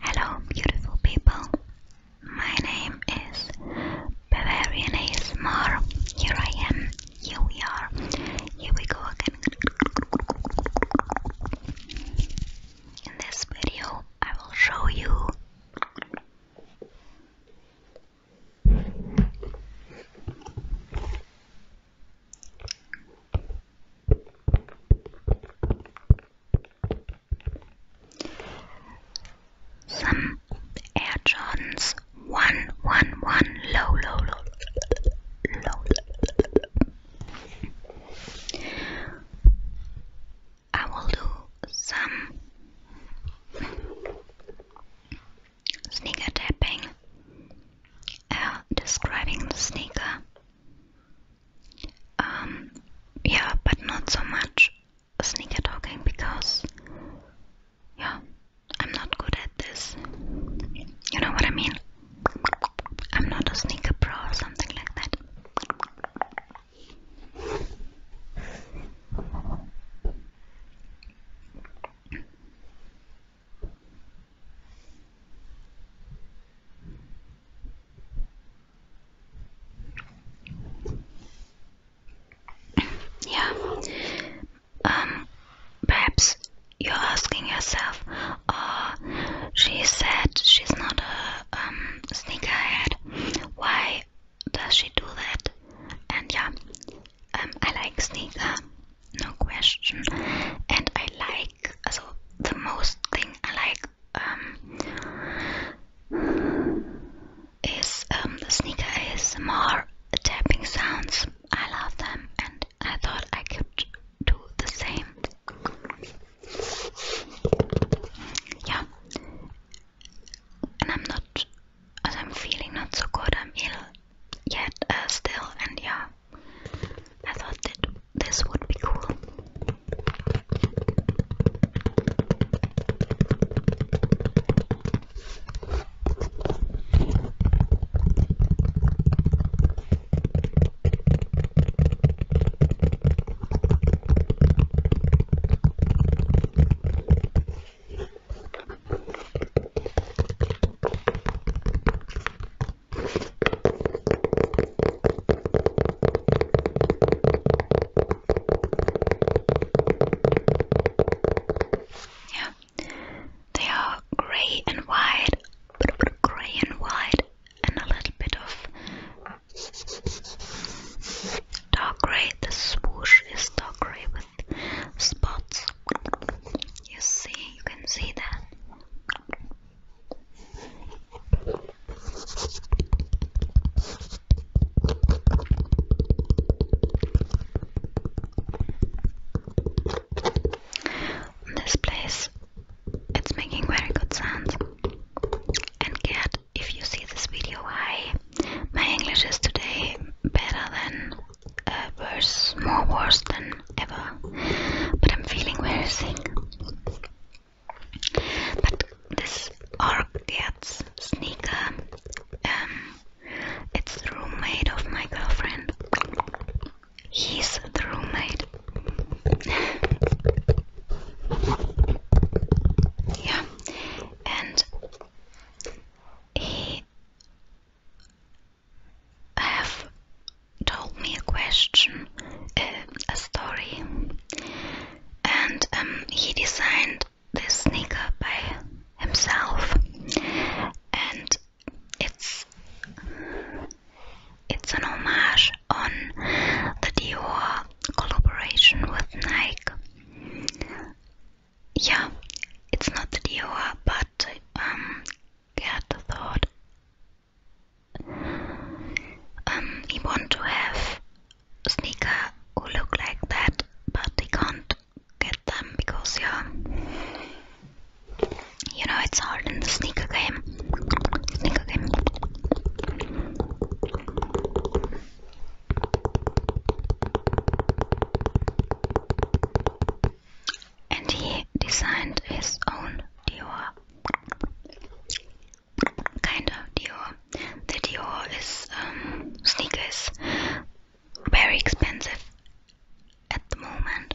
Hello, beautiful people. My name is Bavarian ASMR. Here I am. Here we are. Here we go again. In this video, I will show you some Air Jordans one one one low low low low I will do some sneaker tapping, describing the sneaker. Um, yeah, but not so much sneaker talking because, yeah, I'm not good at this. You know what I mean? I'm not a sneaker pro or something like that. Yeah. Um, perhaps you're asking yourself, oh, she said she's not a um, sneakerhead. Why does she do that? And yeah, um, I like sneaker, no question. And I like, so the most thing I like um, is um, the sneaker ASMR tapping sounds. I love them, and I thought I could do the same. Yeah, and I'm not as I'm feeling not so good, I'm ill yet uh, still, and yeah, I thought that this would be cool. Yeah, they are grey and white, grey and white, and a little bit of Dark gray. The swoosh is dark gray with spots. You see, you can see that. This place, it's making very good sounds. And cat if you see this video, I my English is today better than uh, worse, more worse than ever. But I'm feeling very sick. But this Orgats sneaker, um, it's the roommate of my girlfriend. He's the roommate. yeah and he have told me a question, uh, a story, and um, he designed this sneaker by himself, and it's it's an homage on the Dior collaboration with Nike. Yeah, it's not the Dior, but um, Gerd thought um, he want to have a sneaker who look like that, but he can't get them because yeah, you know it's hard in the sneaker game. Sneaker game. And he designed his own Dior. Kind of Dior. The Dior is um, sneakers, very expensive at the moment.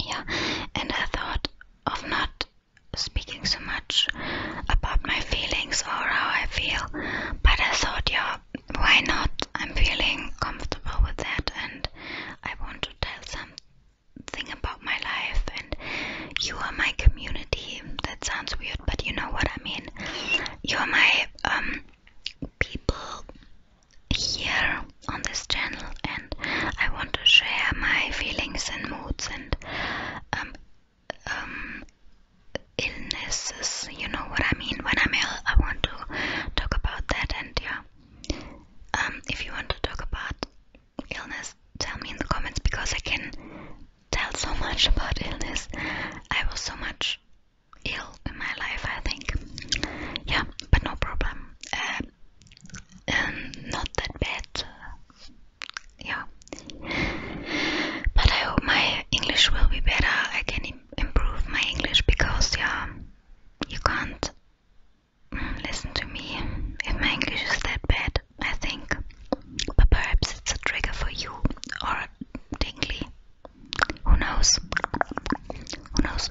Yeah, and I thought of not speaking so much about my feelings or how I feel, but I thought, yeah, why not? I'm feeling comfortable with that, and I want to tell something about my life, and you are my community. That sounds weird, but you know what I mean. You are my um, people here on this channel, and I want to share my feelings and moods and um, um, illnesses. You know what I mean? When I'm ill, I want to talk about that. And yeah, um, if you want to talk about illness, tell me in the comments because I can tell so much about illness. I was so much ill in my life, I think. Yeah, but no problem. Uh, um, not that bad. Yeah. But I hope my English will be better. I can Im improve my English because, yeah, you can't mm, listen to me if my English is that bad, I think. But perhaps it's a trigger for you or tingly. Who knows? Who knows?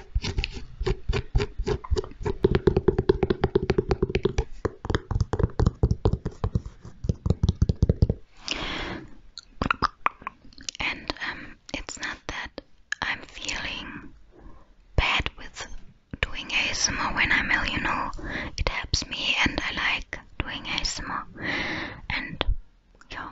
And um, it's not that I'm feeling bad with doing ASMR when I'm ill, you know. It helps me and I like doing ASMR. And yeah,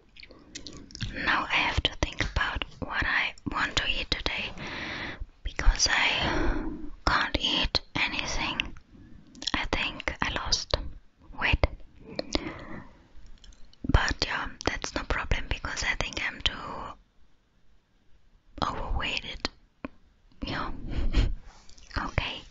Now I have to think about what I want to eat today because I can't eat anything. I think I lost weight. But yeah, that's no problem because I think I'm too overweighted. Yeah. okay.